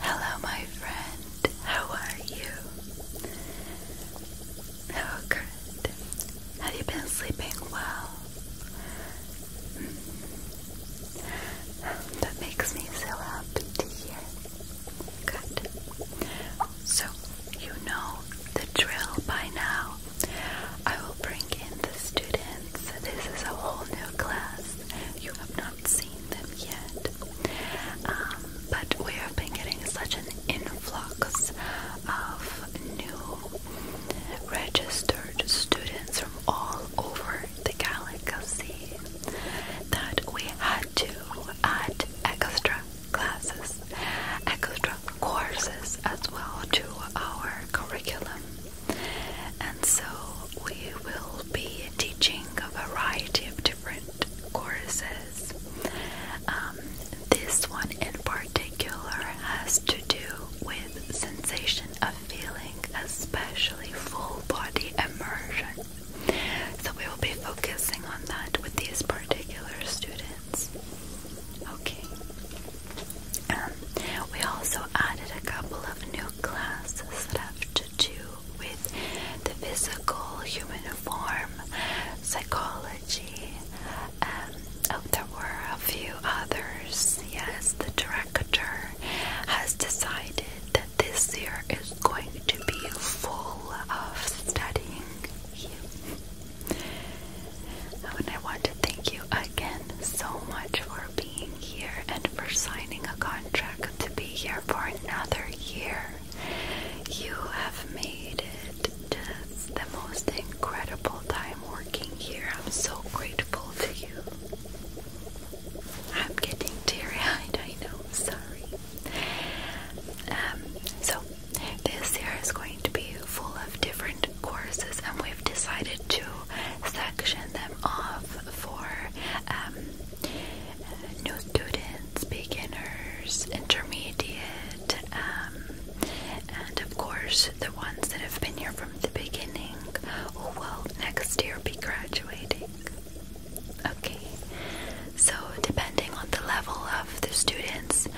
Hello, my friend. How are you? Oh, good. Have you been sleeping well? Hmm. That makes me so happy to hear. Good. So, you know the drill by now. I will bring in the students. This is a whole new class you have not seen them yet. Um, but we have been getting such an influx of new registered students from all over the galaxy that we had to add extra classes, extra courses as well to our curriculum. And so we will be teaching a variety of different courses. Um, this one in particular has to do with sensation of feeling, especially full body immersion. So we will be focusing on that with these particular students. Okay. Um, we also added a couple of new classes that have to do with the physical human form, psychology. Um, oh, there were a few others. Yes, the director has decided that this year is going to be full of studying oh, And I want to thank you again so much for being here and for signing a contract to be here for another year. You have made it just the most incredible time working here. I'm so grateful to you. I'm getting teary eyed, I know, sorry. Um, so, this year is going to be full of different courses, and we've decided to section them off for um, new students, beginners, intermediate, um, and of course the ones that have been here from the beginning who oh, will next year be graduating. Okay, so depending on the level of the students,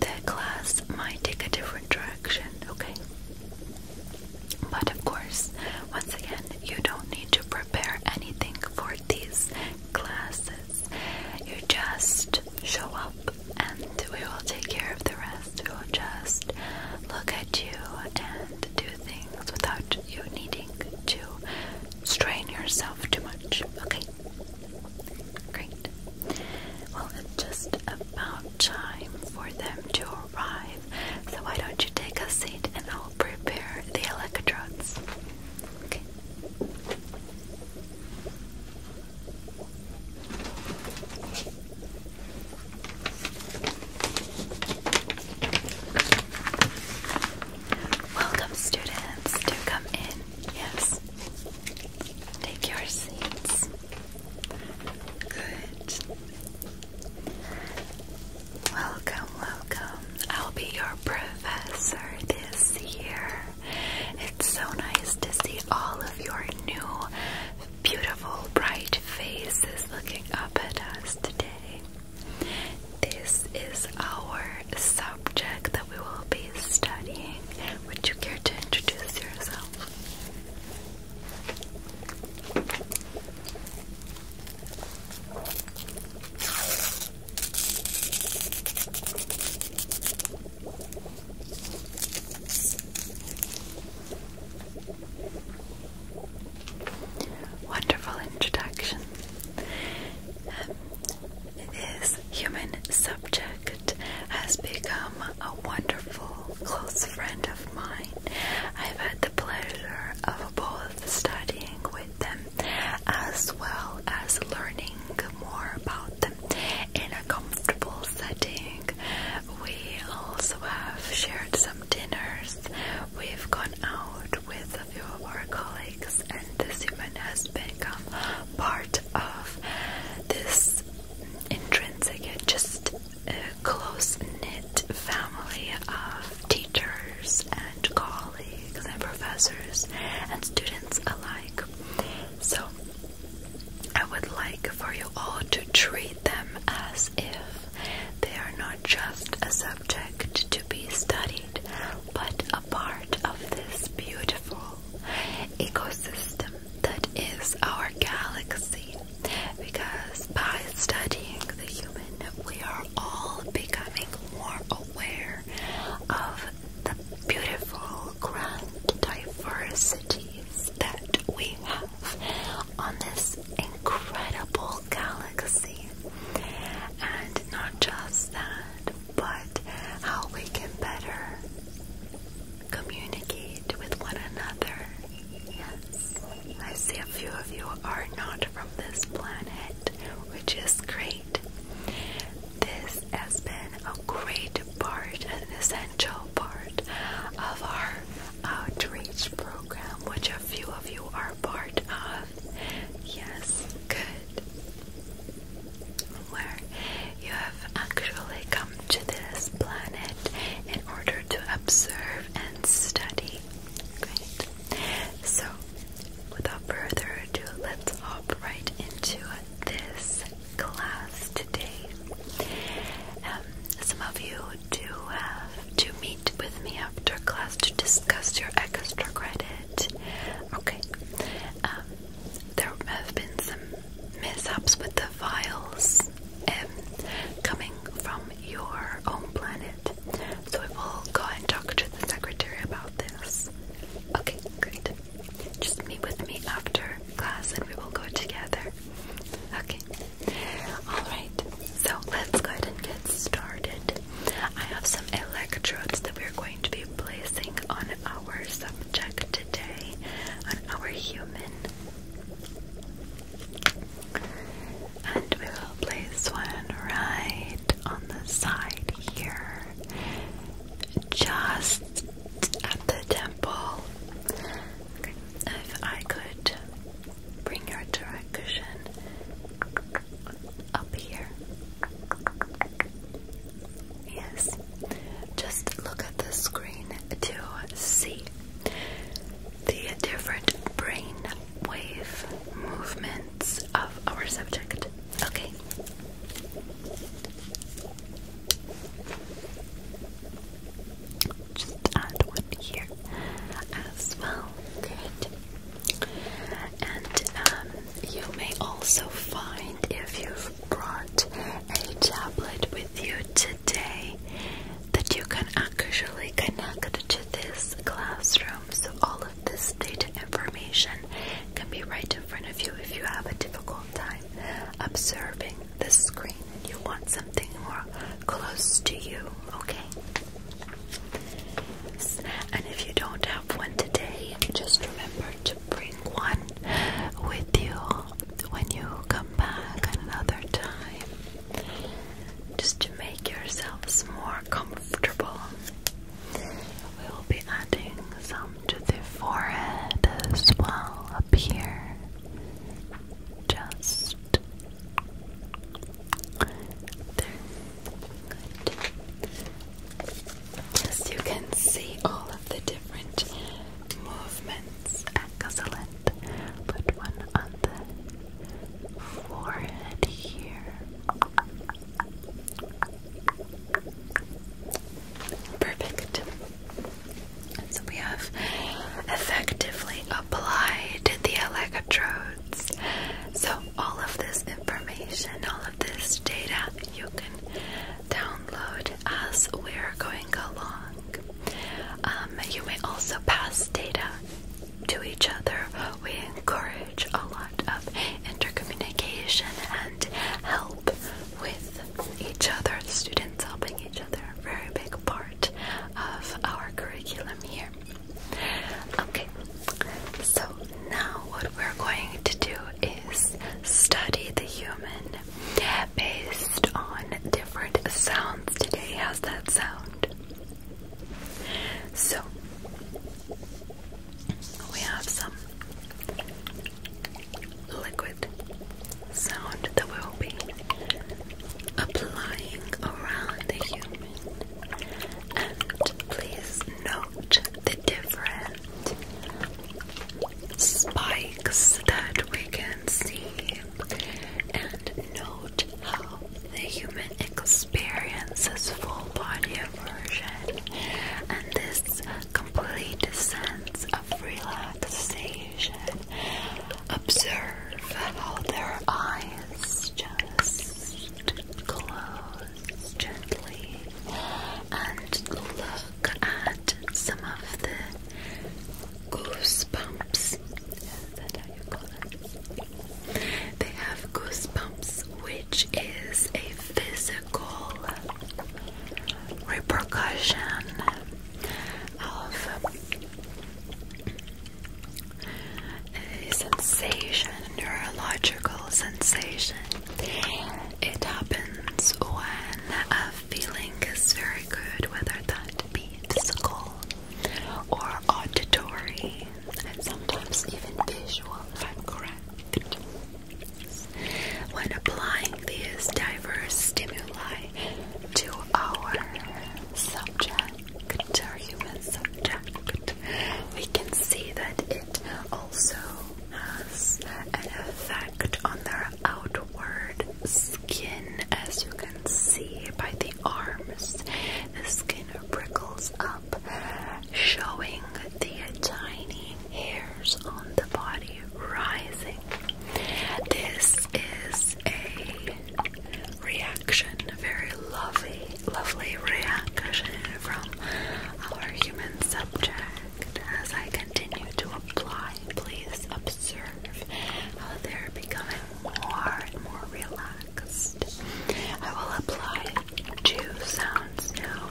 the class might take a different direction okay? But of course, once again, you don't need to prepare anything for these classes. You just show up and we will take care of the rest. We will just look at you and do things without you needing to strain yourself too much, okay? Great. Well, it's just about time for them to so why don't you take a seat and I'll prepare the electrodes? Welcome, students, to come in. Yes, take your seats. Good. Welcome, welcome. I'll be your professor this year. It's so nice to see all of your new, beautiful, bright faces looking up at us today. This is our subject that we will be studying. Would you care to introduce yourself? Wonderful introduction. Um, this human subject has become a wonderful close friend of mine. I've had the pleasure of both studying with them as well as learning more about them in a comfortable setting. We also have shared some dinners. We've gone out with a few of our colleagues, and the event has become part of this intrinsic and just a close knit family of teachers and colleagues and professors and students alike. So I would like for you all to treat them as if they are not just a subject to be studied, but a part of this beautiful ecosystem that is our galaxy because by studying the human, we are all becoming more aware of the beautiful, grand diversities that we have on this incredible galaxy. And not just that, but how we can better communicate with one another. Yes, I see a few of you are not from this planet, which is great. This has been a great part, an essential part of our outreach program, which a few of you are part of. Yes, good. Where you have actually come to this planet in order to observe and study. So, without further ado, let's hop right into this class today. Um, some of you do have to meet with me after class to discuss your extra credit. Okay. Um, there have been some mishaps with the vials, um, coming from your own planet. So we will go and talk to the secretary about this. Okay, great. Just meet with me after class and we will go together. Okay. Alright, so let's go ahead and get started. I have some electrodes that we're going to be placing on our subject today, on our human and we will place one right on the side here, just at the temple. If I could bring your direct cushion up here. Yes. Just look at the screen to see the different brain wave movements of our subject. Okay. Just add one here as well. And um, you may also find if you brought a tablet with you today that you can actually connect to this classroom so all of this data information can be right in front of you if you have a difficult time observing the screen and you want something more close to you, okay? And if you don't have one today, just remember to bring one with you when you come back another time just to make yourselves more comfortable. We will be adding some to the forehead as well up here. Just there. you can see all of the different movements. at Excellent. Put one on the forehead here. Perfect. So we have effectively applied the electrodes. So all of this information, all of this data, you can download as we're going along. Um, you may also pass data to each other. We encourage a lot of intercommunication and help with each other. Students helping each other, a very big part of our curriculum here. Okay, so now what we're going to do is study the human based on different sounds today. How's that sound? So, we have some liquid sound that we will be applying around the human. And please note the different spikes that we can see and note how the human experiences full body immersion and this complete sense of relaxation. Observe how their eyes just close gently and look at some of the goosebumps. They have goosebumps, which is a physical repercussion of a sensation, neurological sensation. It happens when feeling is very good, whether that be physical or auditory, and sometimes even visual, if I'm correct. When applying these diverse stimuli to our subject, our human subject, we can see that it also has an effect on their outward skin, as you can see by the arms. The skin prickles up, showing the tiny hairs on the body rising. This is a reaction, a very lovely, lovely reaction from our human subject as I continue to apply, please observe how they're becoming more and more relaxed. I will apply two sounds now,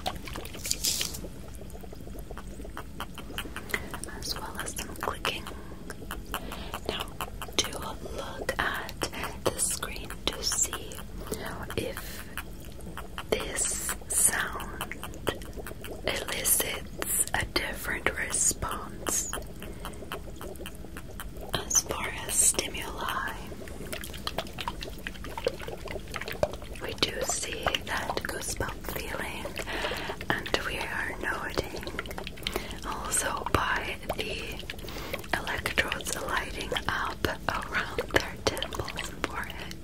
as well as some clicking. Now, to look at the screen to see if this sound elicits a different response as far as stimuli. We do see that goosebump feeling, and we are noting also by the electrodes lighting up around their temples and forehead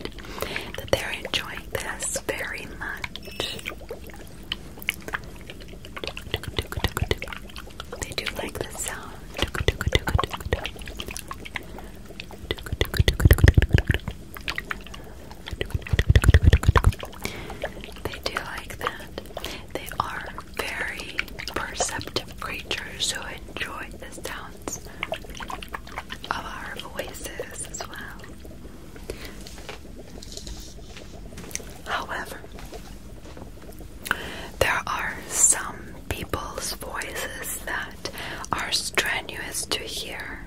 they're enjoying this very much. They do like the sound. They do like that. They are very perceptive creatures who enjoy the sounds of our voices as well. However, there are some people's voices that are strenuous to hear.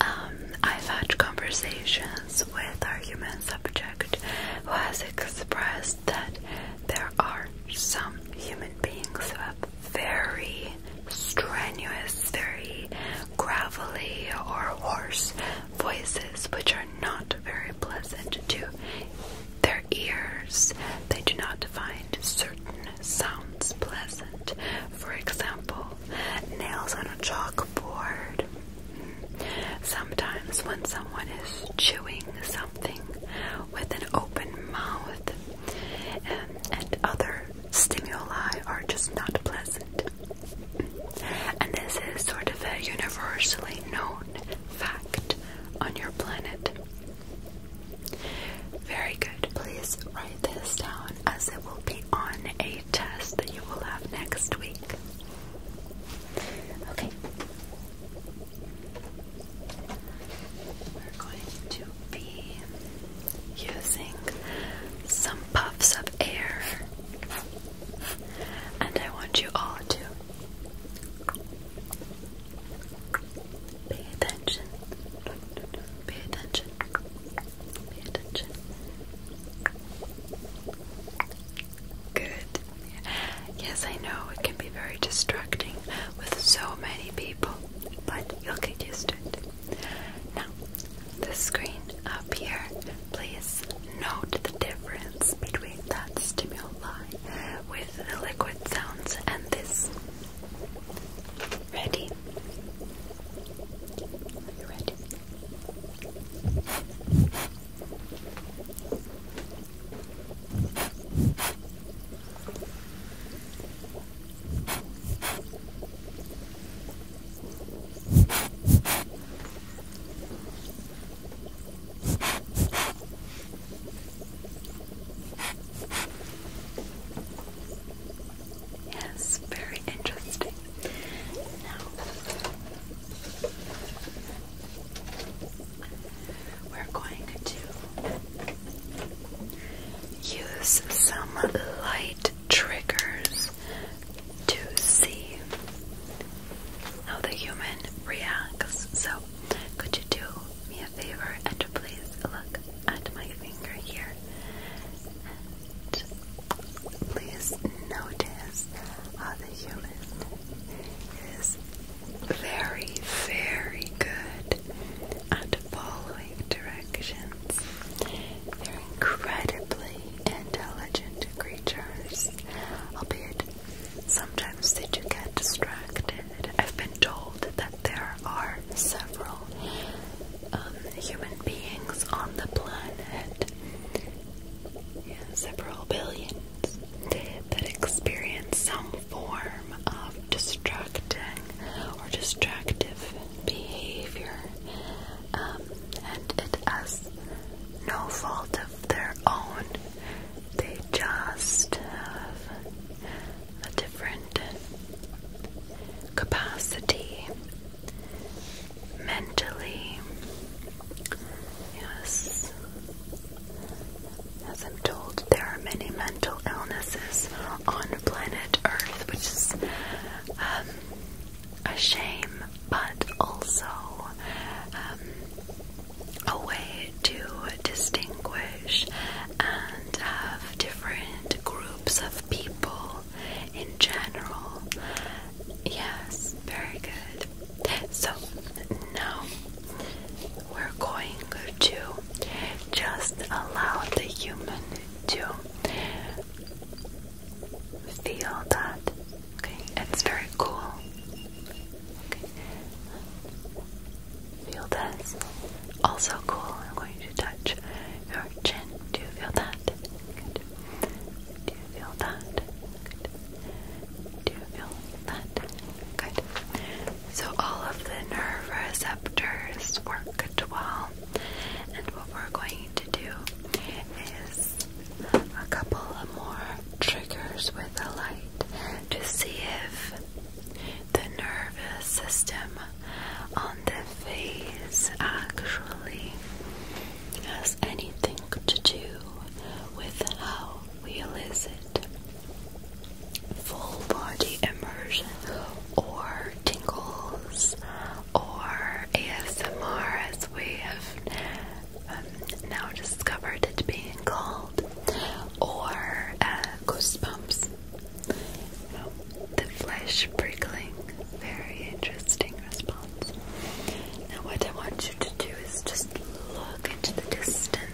Um, I've had conversations with our human subject who has expressed that there are some human beings who have very very strenuous, very gravelly, or hoarse voices, which are not very pleasant to their ears. They do not find certain sounds pleasant. For example, nails on a chalkboard. Sometimes, when someone is chewing something with an open mouth, um, and other stimuli are just not pleasant. And this is sort of a universally known fact on your planet. Very good. Please write this down as it will be on a test that you will have next week. Okay we're going to be using some puffs of air, and I want you all to pay attention. Pay attention. Pay attention. Good. Yes, I know it can be very distracting with so many people, but you'll get used to it. Now, the screen up here, please note the difference between that stimuli with the liquid sounds and this. Ready? ready? Yes, very interesting. Now we're going to Use some light triggers to see how the human reacts. So, could you do me a favor and please look at my finger here? please notice how the human is very, very good and following directions. They're incredibly intelligent creatures, albeit sometimes they do get distracted. I've been told that there are several um, human beings on the planet, several billions, that experience some form of distracting or distractive behavior, um, and it has no fault of their own. They just have a different capacity mentally. Yes. As I'm told, there are many men mental illnesses on planet Earth, which is um, a shame, but also um, a way to distinguish and have different groups of people in general. Yes, very good. So now we're going to just allow the human to feel that. Okay, it's very cool. Okay. Feel this. Also cool. I'm going to touch your chin. Do you feel that? Do you feel that? Good. Do you feel that? So all of the nerve receptors work well. And what we're going to do is a couple of more triggers with a light to see if the nervous system on the face actually has anything to do with how we elicit full body immersion or tingles or ASMR as we have um, now discovered it being called or uh, goosebumps. the flesh prickling, very interesting response. Now what I want you to do is just look into the distance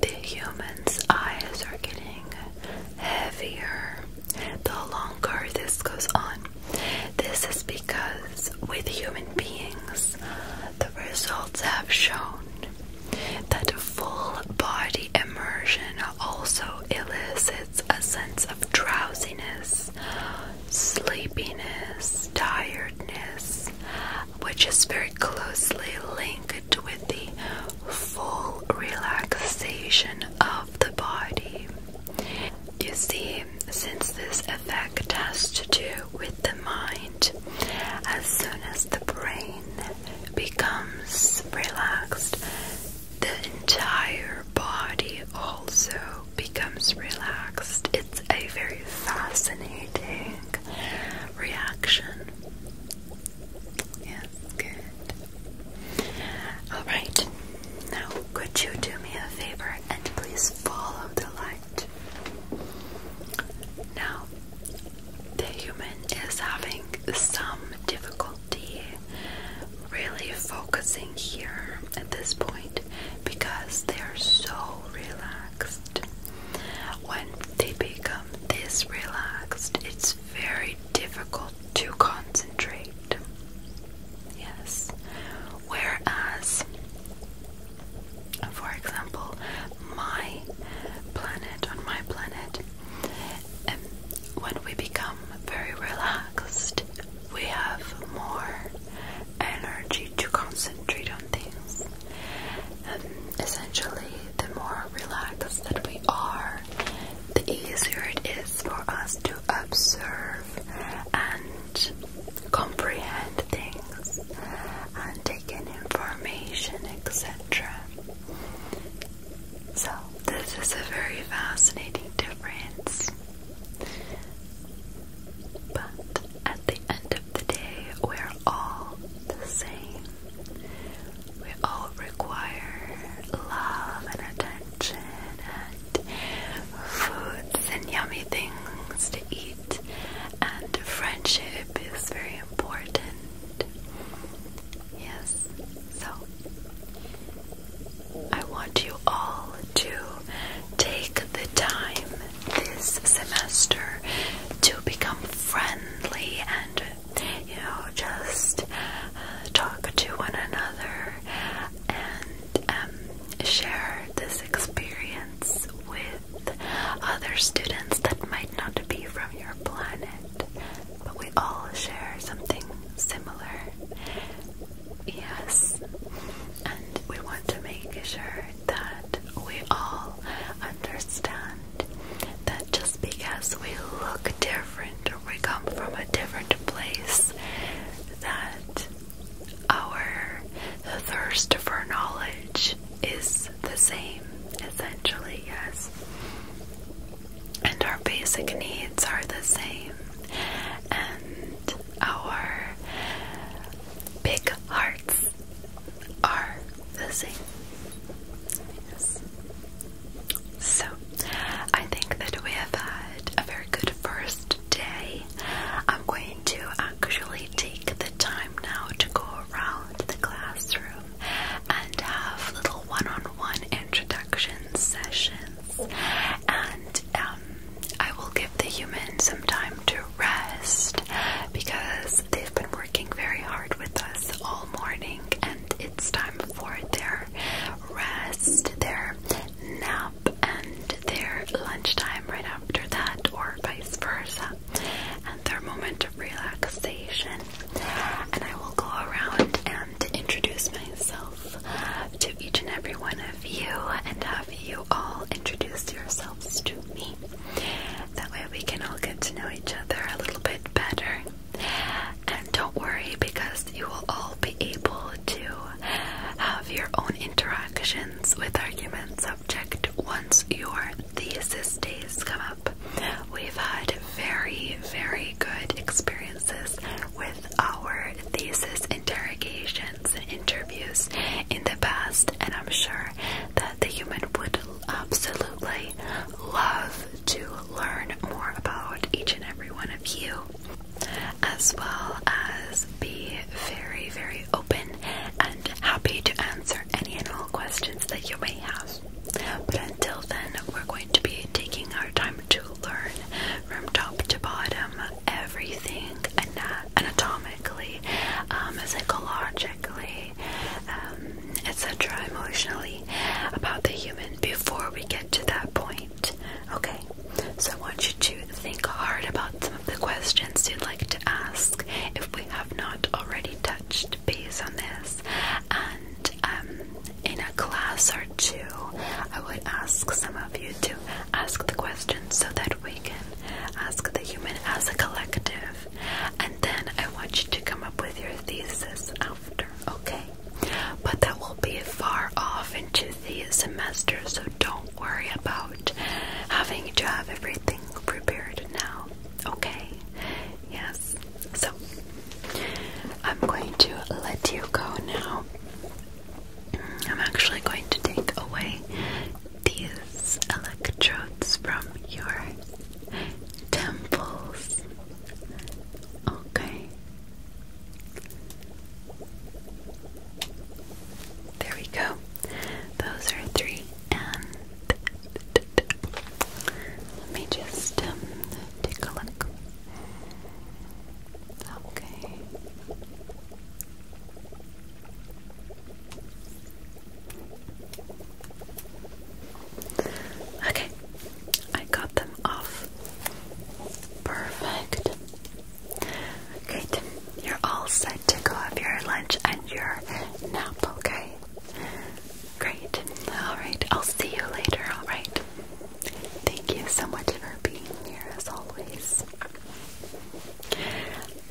the human's eyes are getting heavier the longer this goes on. This is because with human beings, the results have shown that full body immersion also elicits a sense of drowsiness, sleepiness, tiredness, which is very closely linked with the full relaxation of the body. You see, since this effect has to do with the mind, as soon as the brain becomes relaxed, the entire body also becomes relaxed. It's a very fascinating reaction. Yes, good. Alright, now could you do me a favor and please follow the light? Now, the human is having some difficulty really focusing here at this point because they are so relaxed. When they become this relaxed, it's very difficult to concentrate. Yes. Whereas, for example, my planet, on my planet, um, when we become very relaxed, we have more energy to concentrate on things. Um, essentially, the more relaxed that we are, the easier it is for us to observe and comprehend things and take in information, etc. So, this is a very fascinating difference. But at the end of the day, we're all the same. We all require love and attention and foods and yummy things to eat, and friendship is very important. Yes, so I want you all to take the time this semester to become friends and you know just uh, talk to one another and um, share this experience with other students that might not be from your planet, but we all share something similar. Yes, and we want to make sure that we all understand that just because we look different or we come from a different place, that our thirst for knowledge is the same, essentially, yes. And our basic needs are the same, and our big hearts are the same. So, I think that we have had a very good first day. I'm going to actually take the time now to go around the classroom and have little one on one introduction sessions. And um, I will give the humans some time to rest because they've been working very hard with us all morning and it's time for their rest, their nap, and their lunchtime right after that, or vice versa, and their moment of relaxation. And I will go around and introduce myself to each and every one of you and have you all introduce yourselves to me. That way we can all get to know each other a little bit better. And don't worry because you will all be able to have your own interactions with argument subject once your thesis days come up. We've had very, very good experiences with our thesis interrogations and interviews in the past, and I'm sure that the human would absolutely love to learn more about each and every one of you, as well as be very, very open and happy to answer any and all questions that you may have. But until then, we're going to be taking our time to learn from top to bottom everything anatomic um, psychologically, um, etc., emotionally about the human before we get to that point. Okay, so I want you to think hard about some of the questions you'd like to ask if we have not already touched base on this. And um, in a class or two, I would ask some of you to ask the questions so that we can ask the human as a collective and then I want you to come up with your thesis after, okay? But that will be far off into the semester, so don't worry about having to have everything prepared now, okay? Yes, so I'm going to let you go now. I'm actually going to take away these electrodes from your temples. Okay. There we go. Those are three. And let me just um, take a look. Okay. Okay, I got them off. Perfect. Great. You're all set to go have your lunch and your nap, okay? Great. Alright, I'll see you later, alright? Thank you so much for being here as always.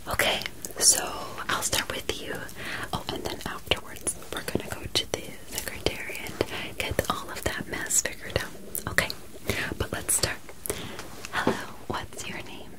Okay, so I'll start with you. Oh, and then afterwards, we're gonna go to the secretary and get all of that mess figured out. Okay, but let's start. Hello, what's your name?